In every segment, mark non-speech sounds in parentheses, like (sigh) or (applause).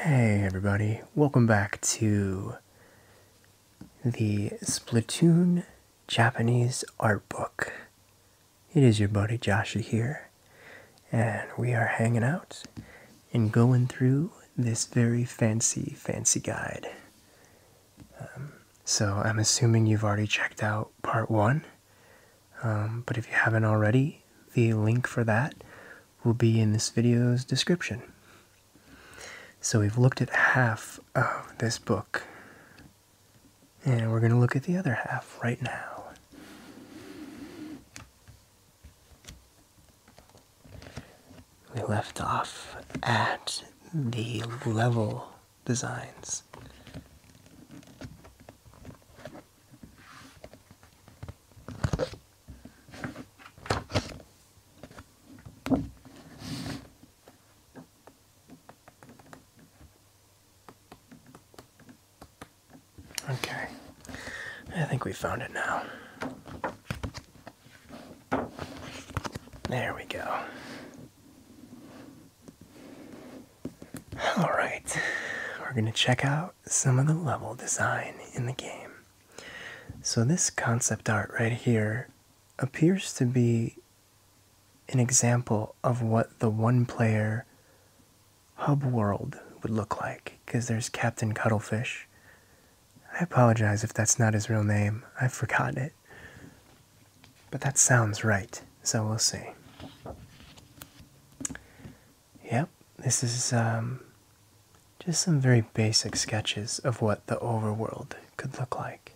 Hey everybody, welcome back to the Splatoon Japanese Art Book. It is your buddy Joshua here, and we are hanging out and going through this very fancy, fancy guide. Um, so I'm assuming you've already checked out part one, um, but if you haven't already, the link for that will be in this video's description. So we've looked at half of this book, and we're going to look at the other half right now. We left off at the level designs. Okay, I think we found it now. There we go. All right, we're going to check out some of the level design in the game. So, this concept art right here appears to be an example of what the one player hub world would look like because there's Captain Cuttlefish. I apologize if that's not his real name, I have forgotten it. But that sounds right, so we'll see. Yep, this is um, just some very basic sketches of what the overworld could look like.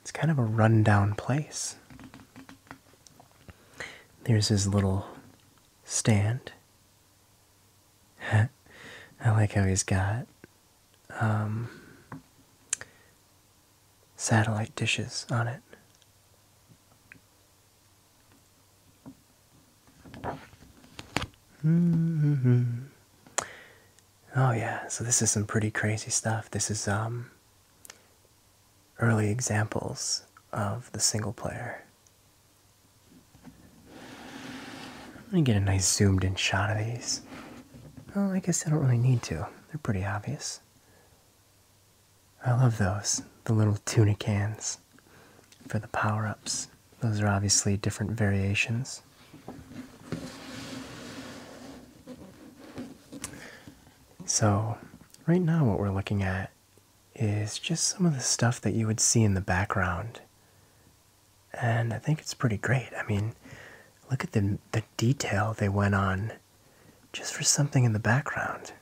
It's kind of a rundown place. There's his little stand. (laughs) I like how he's got um, satellite dishes on it. Mm-hmm. Oh yeah, so this is some pretty crazy stuff. This is um early examples of the single player. Let me get a nice zoomed in shot of these. Oh, I guess I don't really need to. They're pretty obvious. I love those. The little tuna cans for the power ups. Those are obviously different variations. So, right now, what we're looking at is just some of the stuff that you would see in the background. And I think it's pretty great. I mean, look at the, detail they went on just for something in the background.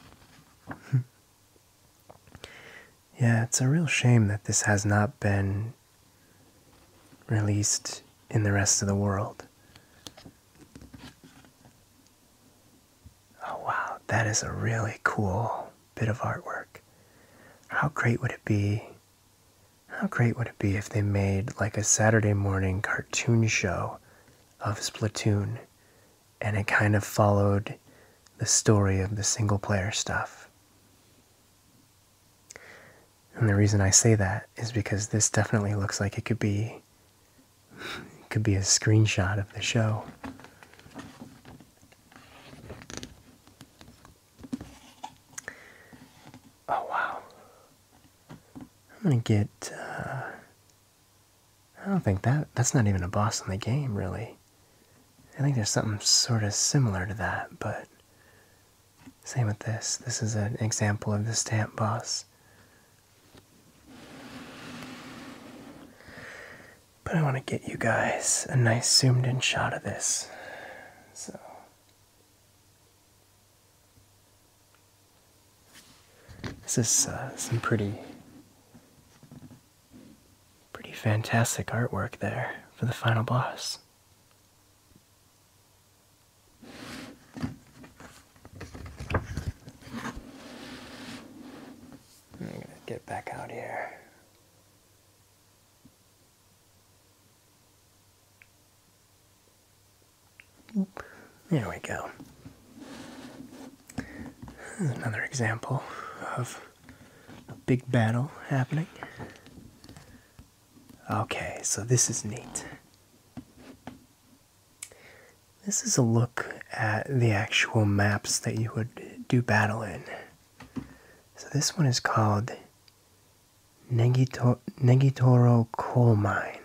(laughs) yeah, it's a real shame that this has not been released in the rest of the world. Oh wow, that is a really cool bit of artwork. How great would it be? How great would it be if they made like a Saturday morning cartoon show of Splatoon and it kind of followed the story of the single player stuff? And the reason I say that is because this definitely looks like it could be it could be a screenshot of the show. Oh wow. I'm gonna get uh, I don't think that that's not even a boss in the game really. I think there's something sort of similar to that, but same with this. This is an example of the stamp boss. But I want to get you guys a nice zoomed in shot of this. So. This is uh, some pretty pretty fantastic artwork there for the final boss. I'm going to get back out here. There we go. Another example of a big battle happening. Okay, so this is neat. This is a look at the actual maps that you would do battle in. So this one is called Negitoro Coal Mine.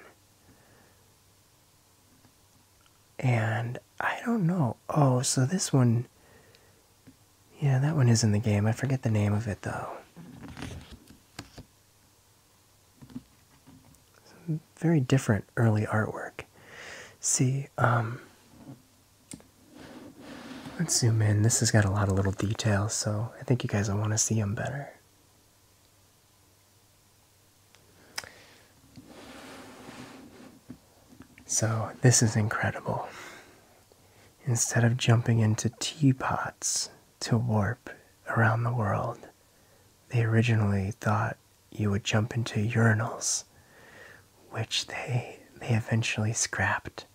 And I don't know. Oh, so this one. Yeah, that one is in the game. I forget the name of it though. very different early artwork. See, um, Let's zoom in. This has got a lot of little details, so I think you guys will want to see them better. So, this is incredible. Instead of jumping into teapots to warp around the world, they originally thought you would jump into urinals, which they they eventually scrapped.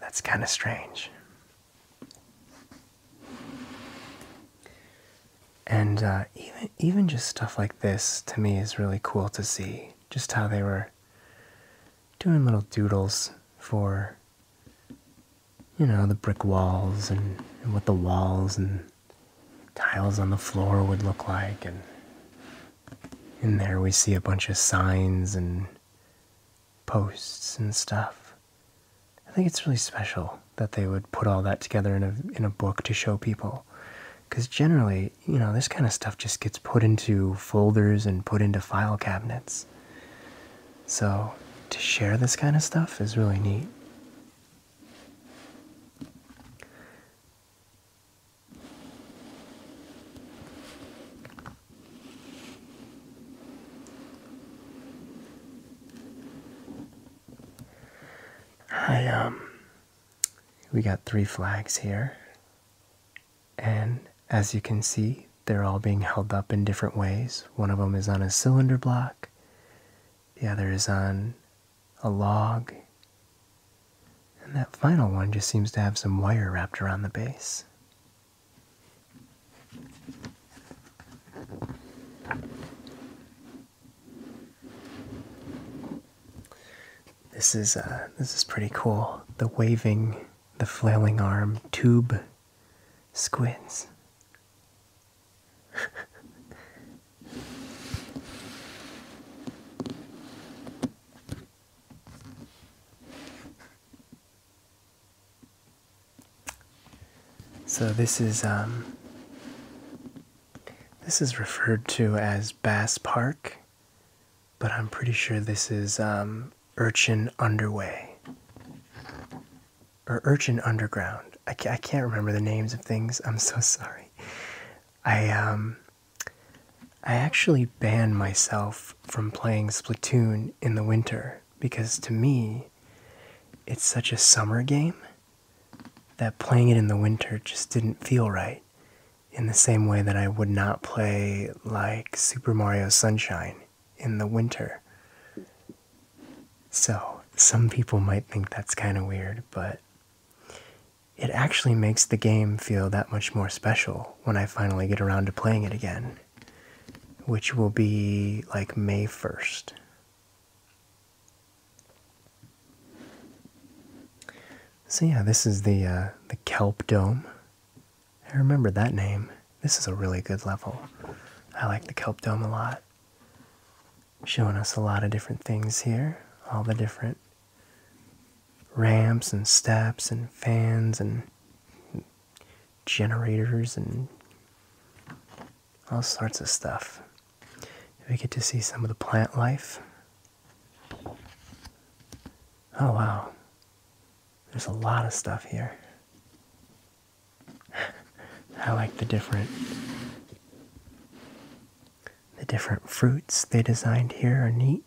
That's kind of strange. And uh, even even just stuff like this to me is really cool to see. Just how they were doing little doodles for you know the brick walls and, and what the walls and tiles on the floor would look like and in there we see a bunch of signs and posts and stuff. I think it's really special that they would put all that together in a in a book to show people cuz generally, you know, this kind of stuff just gets put into folders and put into file cabinets. So, to share this kind of stuff is really neat. I, um, we got three flags here, and as you can see, they're all being held up in different ways. One of them is on a cylinder block, the other is on a log, and that final one just seems to have some wire wrapped around the base. This is uh, this is pretty cool. The waving, the flailing arm tube squids so this is um this is referred to as Bass Park, but I'm pretty sure this is um, Urchin Underway or Urchin Underground. I can't remember the names of things. I'm so (laughs) sorry. I um I actually ban myself from playing Splatoon in the winter because to me it's such a summer game that playing it in the winter just didn't feel right in the same way that I would not play like Super Mario Sunshine in the winter. So, some people might think that's kind of weird, but it actually makes the game feel that much more special when I finally get around to playing it again, which will be like May 1st. So yeah, this is the uh, the Kelp Dome. I remember that name. This is a really good level. I like the Kelp Dome a lot showing us a lot of different things here, all the different ramps and steps and fans and generators and all sorts of stuff. We get to see some of the plant life. Oh wow, there's a lot of stuff here. (laughs) I like the different the different fruits they designed here are neat.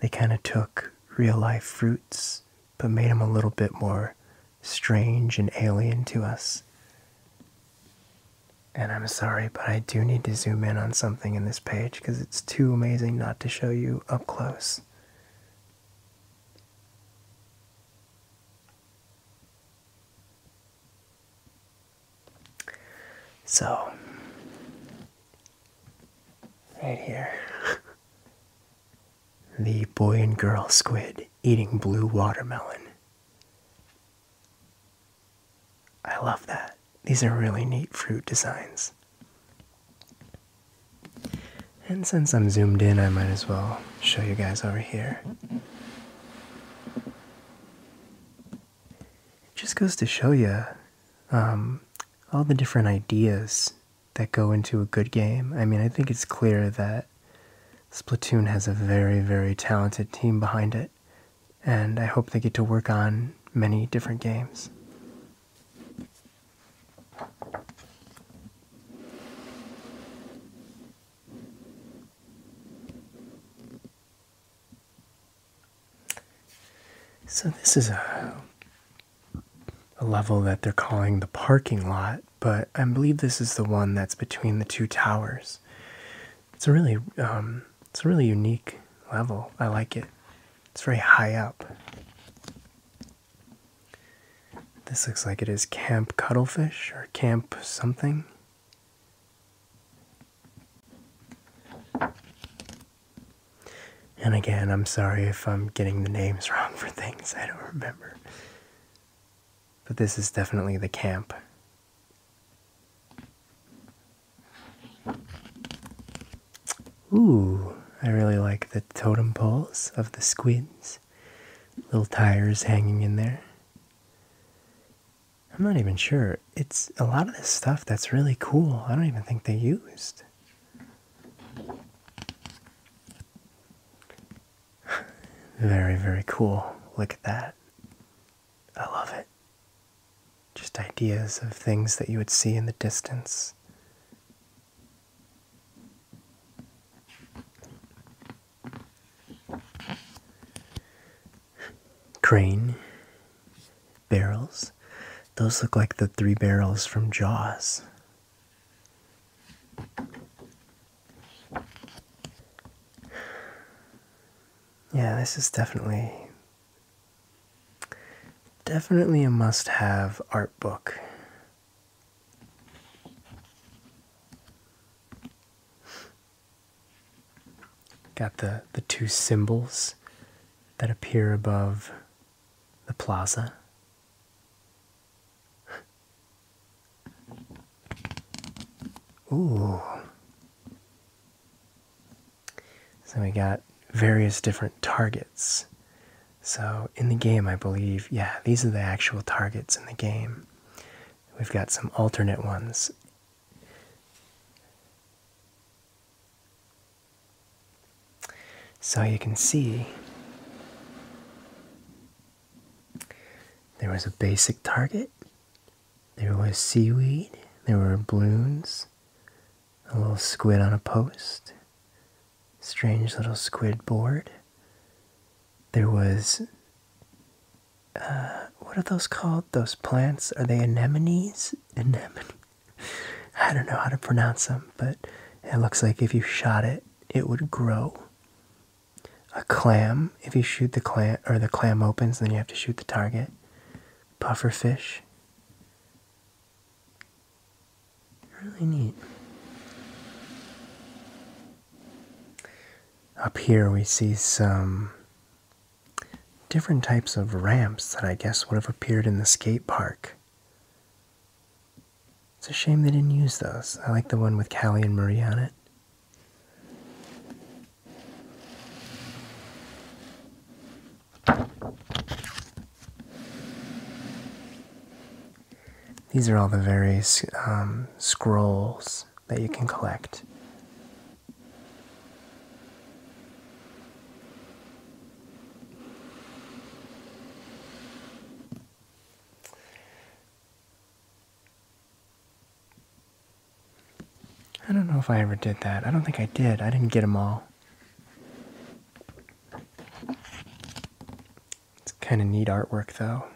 They kind of took real life fruits but made them a little bit more strange and alien to us. And I'm sorry, but I do need to zoom in on something in this page because it's too amazing not to show you up close. So, right here, (laughs) the boy and girl squid eating blue watermelon. I love that. These are really neat fruit designs. And since I'm zoomed in, I might as well show you guys over here it just goes to show you um, all the different ideas that go into a good game. I mean, I think it's clear that Splatoon has a very, very talented team behind it, and I hope they get to work on many different games. So this is a, level that they're calling the parking lot, but I believe this is the one that's between the two towers. It's a really um, it's a really unique level. I like it. It's very high up. This looks like it is Camp Cuttlefish or Camp something. And again, I'm sorry if I'm getting the names (laughs) wrong for things I don't remember. But this is definitely the camp. Ooh, I really like the totem poles of the squids. Little tires hanging in there. I'm not even sure. It's a lot of this stuff that's really cool. I don't even think they used. (laughs) Very, very cool. Look at that. I love it. Just ideas of things that you would see in the distance. Crane barrels. Those look like the three barrels from Jaws. Yeah, this is definitely definitely a must-have art book. Got the, the two symbols that appear above the plaza. Ooh. So we got various different targets. So in the game, I believe, yeah, these are the actual targets in the game. We've got some alternate ones so you can see there was a basic target, there was seaweed, there were balloons, a little squid on a post, strange little squid board. There was uh, what are those called? Those plants? Are they anemones? Anemone? (laughs) I don't know how to pronounce them, but it looks like if you shot it, it would grow. A clam, if you shoot the clam, or the clam opens, then you have to shoot the target. Puffer fish. Really neat. Up here we see some different types of ramps that I guess would have appeared in the skate park. It's a shame they didn't use those. I like the one with Callie and Murray on it. These are all the various um, scrolls that you can collect. I don't know if I ever did that. I don't think I did. I didn't get them all. It's kind of neat artwork, though.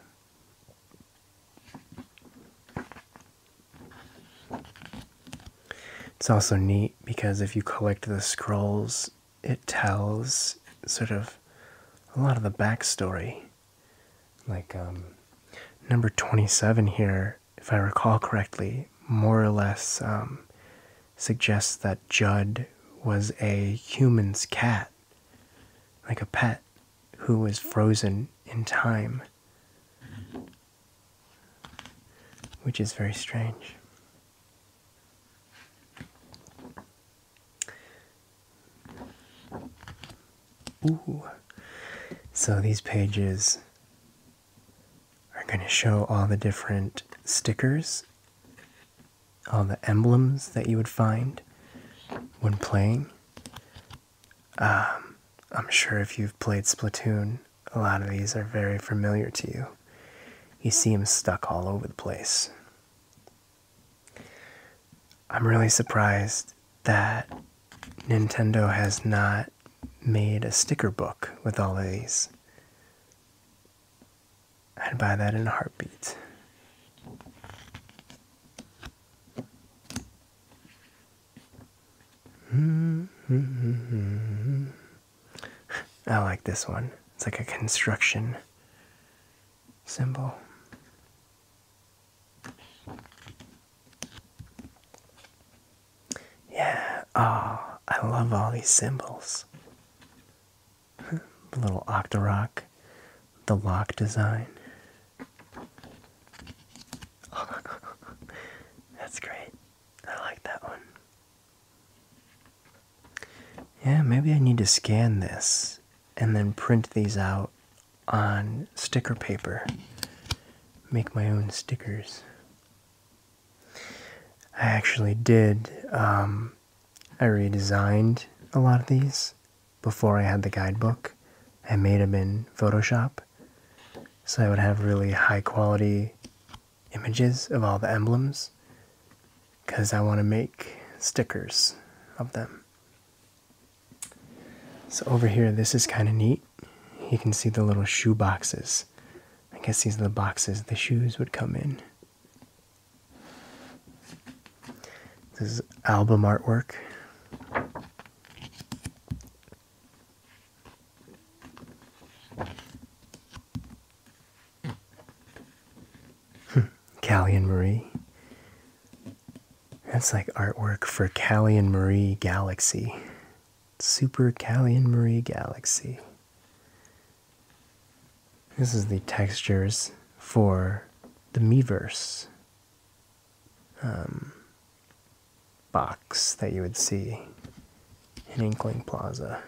It's also neat because if you collect the scrolls, it tells sort of a lot of the backstory. Like um, number 27 here, if I recall correctly, more or less um, suggests that Judd was a human's cat, like a pet who was frozen in time, which is very strange. Ooh. So these pages are going to show all the different stickers, all the emblems that you would find when playing um, I'm sure if you've played Splatoon, a lot of these are very familiar to you. You see them stuck all over the place. I'm really surprised that Nintendo has not made a sticker book with all of these. I'd buy that in a heartbeat. I like this one. It's like a construction symbol. Yeah, oh, I love all these symbols. (laughs) the little octarock, the lock design. (laughs) That's great. I like that one. Yeah, maybe I need to scan this and then print these out on sticker paper. Make my own stickers. I actually did. Um, I redesigned a lot of these before I had the guidebook, I made them in Photoshop. So I would have really high quality images of all the emblems because I want to make stickers of them. So over here, this is kind of neat. You can see the little shoe boxes. I guess these are the boxes the shoes would come in. This is album artwork. Hmm. Callie and Marie. That's like artwork for Callie and Marie Galaxy. Super Callie and Marie Galaxy. This is the textures for the Meverse. Um, box that you would see in Inkling Plaza.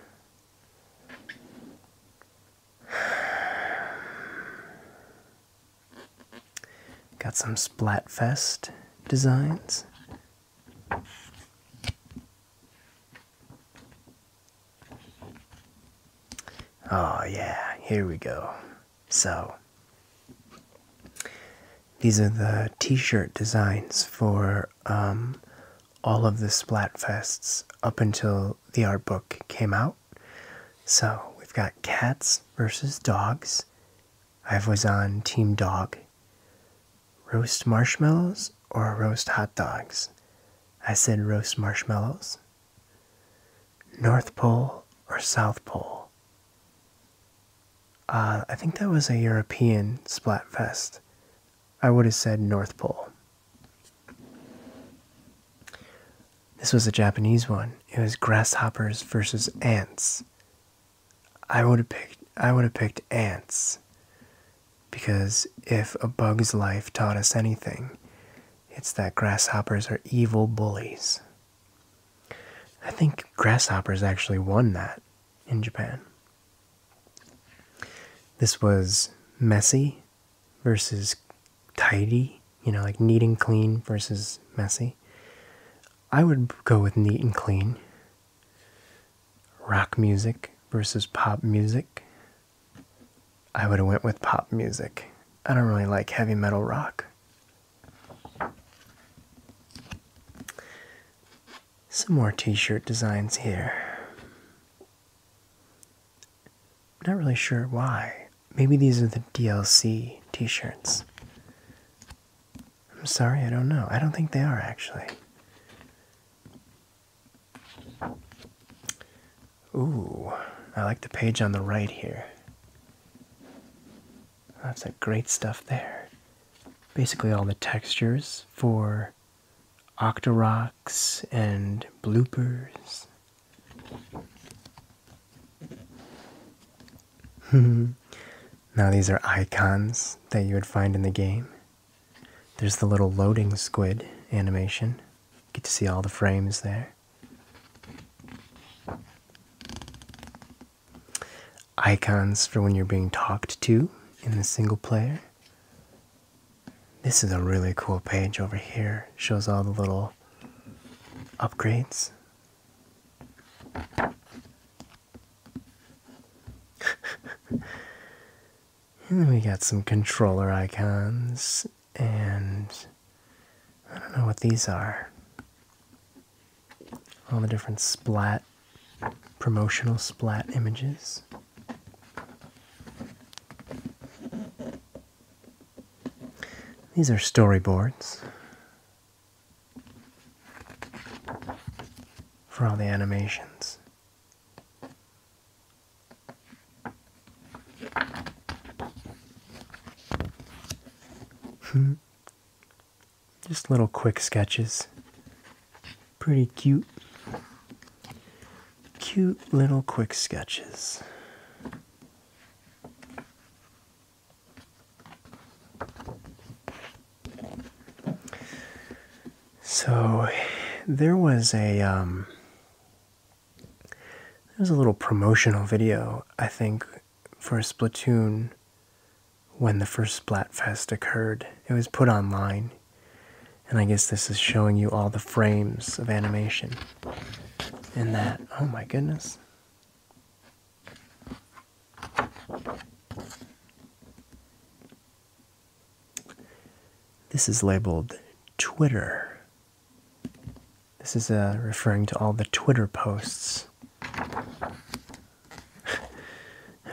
Got some Splatfest designs. Oh, yeah, here we go. So, these are the t shirt designs for um, all of the Splatfests up until the art book came out. So, we've got cats versus dogs. I was on Team Dog. Roast marshmallows or roast hot dogs? I said roast marshmallows. North Pole or South Pole? Uh, I think that was a European splat fest. I would have said North Pole. This was a Japanese one. It was grasshoppers versus ants. I would have picked I would have picked ants because if a bug's life taught us anything, it's that grasshoppers are evil bullies. I think grasshoppers actually won that in Japan. This was messy versus tidy, you know, like neat and clean versus messy. I would go with neat and clean. Rock music versus pop music. I would have went with pop music. I don't really like heavy metal rock. Some more t shirt designs here. I'm not really sure why. Maybe these are the DLC t shirts. I'm sorry, I don't know. I don't think they are actually. Ooh, I like the page on the right here. That's some great stuff there. Basically, all the textures for Octoroks and bloopers. (laughs) now, these are icons that you would find in the game. There's the little loading squid animation. Get to see all the frames there. Icons for when you're being talked to in the single player. This is a really cool page over here. Shows all the little upgrades. (laughs) and then we got some controller icons and I don't know what these are. All the different splat, promotional splat images. These are storyboards for all the animations. Hmm. Just little quick sketches. Pretty cute. Cute little quick sketches. So there was a um there's a little promotional video, I think, for a Splatoon when the first Splatfest occurred. It was put online, and I guess this is showing you all the frames of animation. And that, oh my goodness. This is labeled Twitter this is uh, referring to all the Twitter posts. (laughs) I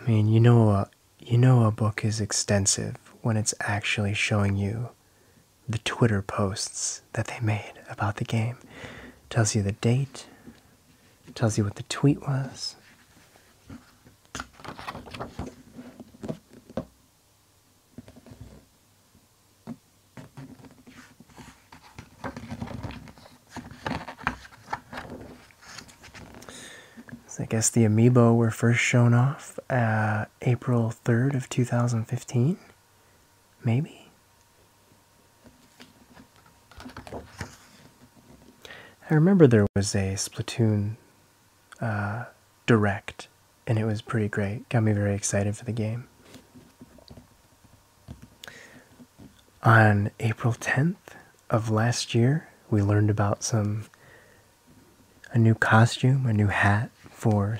mean, you know, uh, you know a book is extensive when it's actually showing you the Twitter posts that they made about the game. It tells you the date, it tells you what the tweet was. So I guess the amiibo were first shown off uh, April 3rd of 2015, maybe. I remember there was a Splatoon uh, direct and it was pretty great. Got me very excited for the game. On April 10th of last year, we learned about some a new costume, a new hat for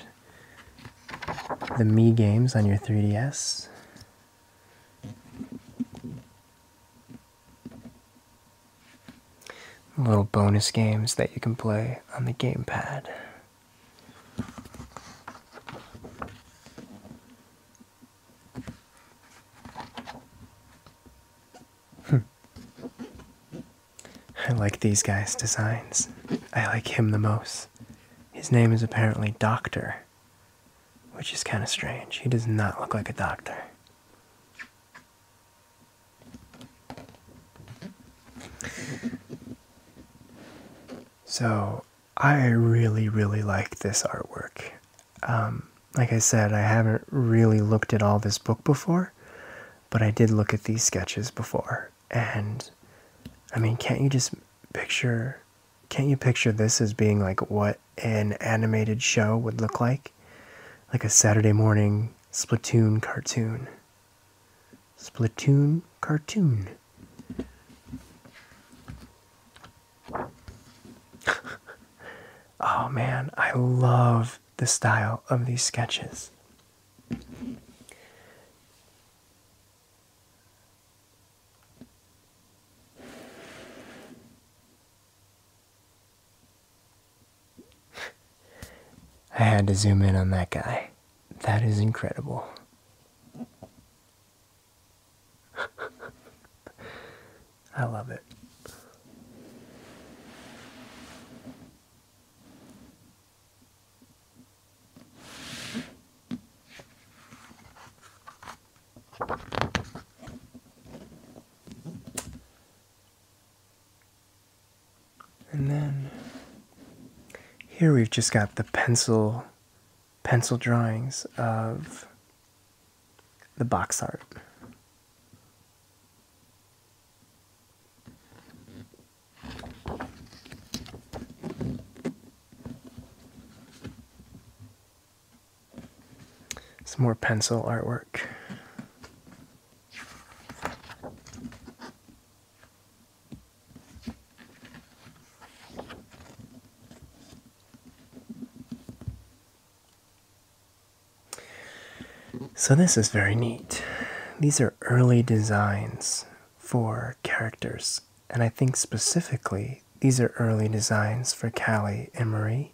the Mii games on your 3DS. Little bonus games that you can play on the game pad. Hmm. I like these guys' designs. I like him the most. His name is apparently Doctor, which is kind of strange. He does not look like a doctor. So I really, really like this artwork. Um, like I said, I haven't really looked at all this book before, but I did look at these sketches before. And I mean, can't you just picture, can't you picture this as being like what an animated show would look like? Like a Saturday morning Splatoon cartoon. Splatoon cartoon. (laughs) oh man, I love the style of these sketches. (laughs) I had to zoom in on that guy. That is incredible. (laughs) I love it. And then here we've just got the pencil pencil drawings of the box art. Some more pencil artwork. So, this is very neat. These are early designs for characters, and I think specifically these are early designs for Callie and Marie.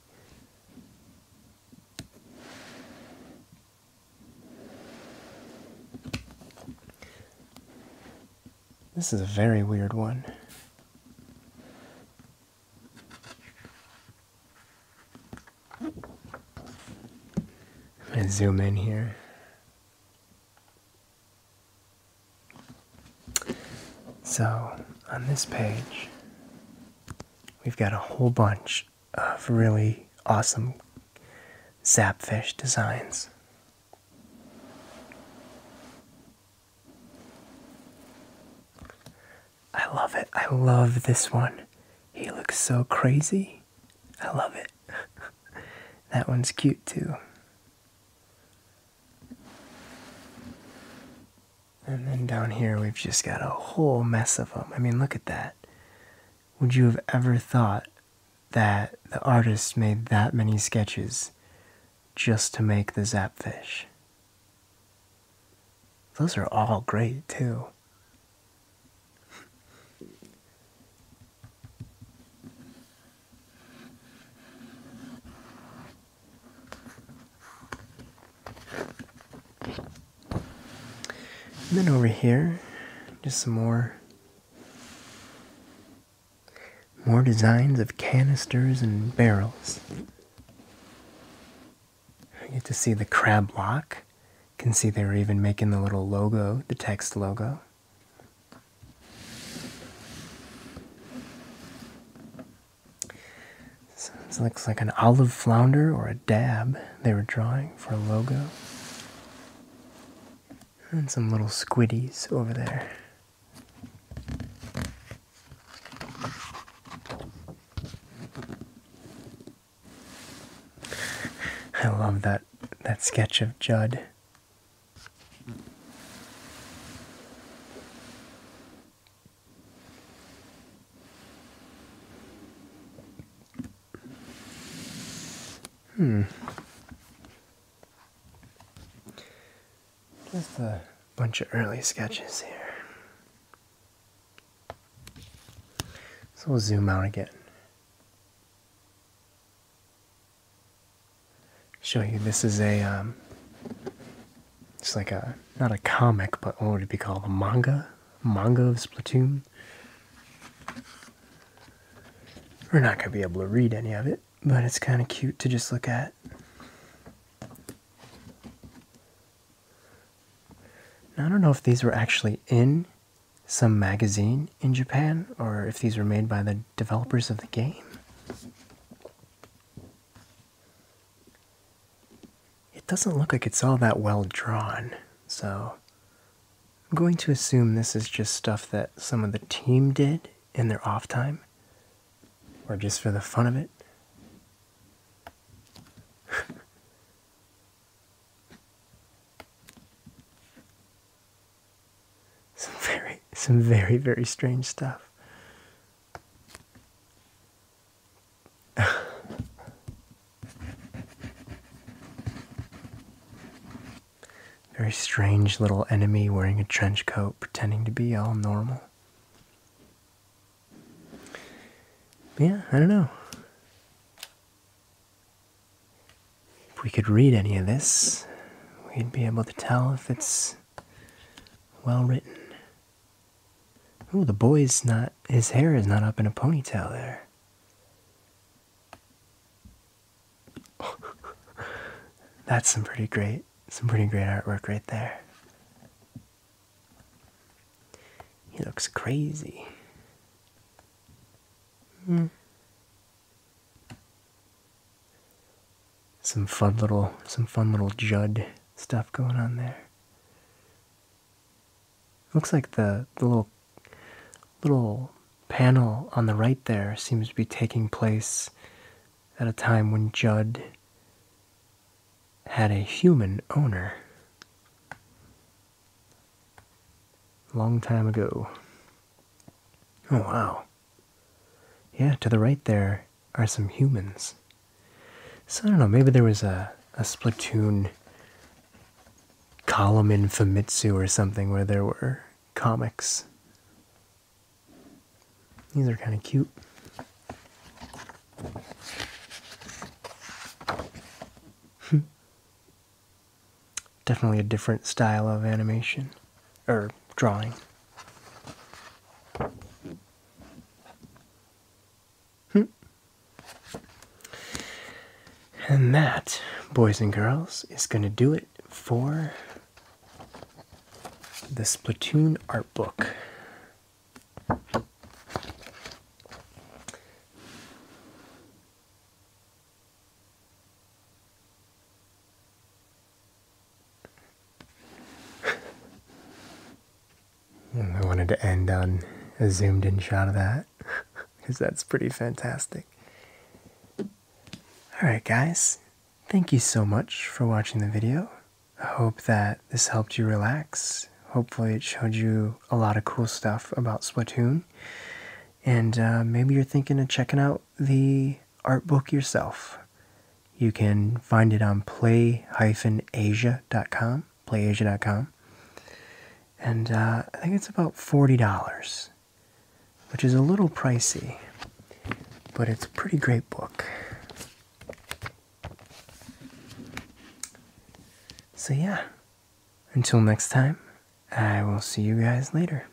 This is a very weird one. I'm zoom in here. So, on this page, we've got a whole bunch of really awesome Zapfish Designs. I love it. I love this one. He looks so crazy. I love it. (laughs) that one's cute too. And then down here, we've just got a whole mess of them. I mean, look at that. Would you have ever thought that the artist made that many sketches just to make the zapfish. Those are all great too. And then over here, just some more more designs of canisters and barrels. You get to see the crab lock. You can see they were even making the little logo, the text logo. this looks like an olive flounder or a dab they were drawing for a logo. And some little squiddies over there. I love that that sketch of Judd. Hmm. Just a bunch of early sketches here. So we'll zoom out again. Show you this is a, um, it's like a, not a comic, but what would it be called? A manga? Manga of Splatoon? We're not going to be able to read any of it, but it's kind of cute to just look at. I don't know if these were actually in some magazine in Japan or if these were made by the developers of the game. It doesn't look like it's all that well drawn, so I'm going to assume this is just stuff that some of the team did in their off time, or just for the fun of it. (laughs) some very, some very, very strange stuff. (laughs) Very strange little enemy wearing a trench coat pretending to be all normal. yeah, I don't know. If we could read any of this, we'd be able to tell if it's well written. Oh, the boy's not, his hair is not up in a ponytail there. (laughs) That's some pretty great some pretty great artwork right there. He looks crazy. Hmm. Some fun little some fun little Judd stuff going on there. Looks like the, the little little panel on the right there seems to be taking place at a time when Judd had a human owner. Long time ago. Oh wow. Yeah, to the right there are some humans. So I don't know, maybe there was a, a Splatoon column in Famitsu or something where there were comics. These are kind of cute. (laughs) Definitely a different style of animation or drawing. And that, boys and girls, is going to do it for the Splatoon art book. (laughs) I wanted to end on a zoomed in shot of that because (laughs) that's pretty fantastic. Alright, guys, thank you so much for watching the video. I hope that this helped you relax. Hopefully, it showed you a lot of cool stuff about Splatoon. And uh, maybe you're thinking of checking out the art book yourself. You can find it on playasia.com. play-asia.com, playasia.com. And uh, I think it's about $40, which is a little pricey, but it's a pretty great book. So, yeah, until next time, I will see you guys later.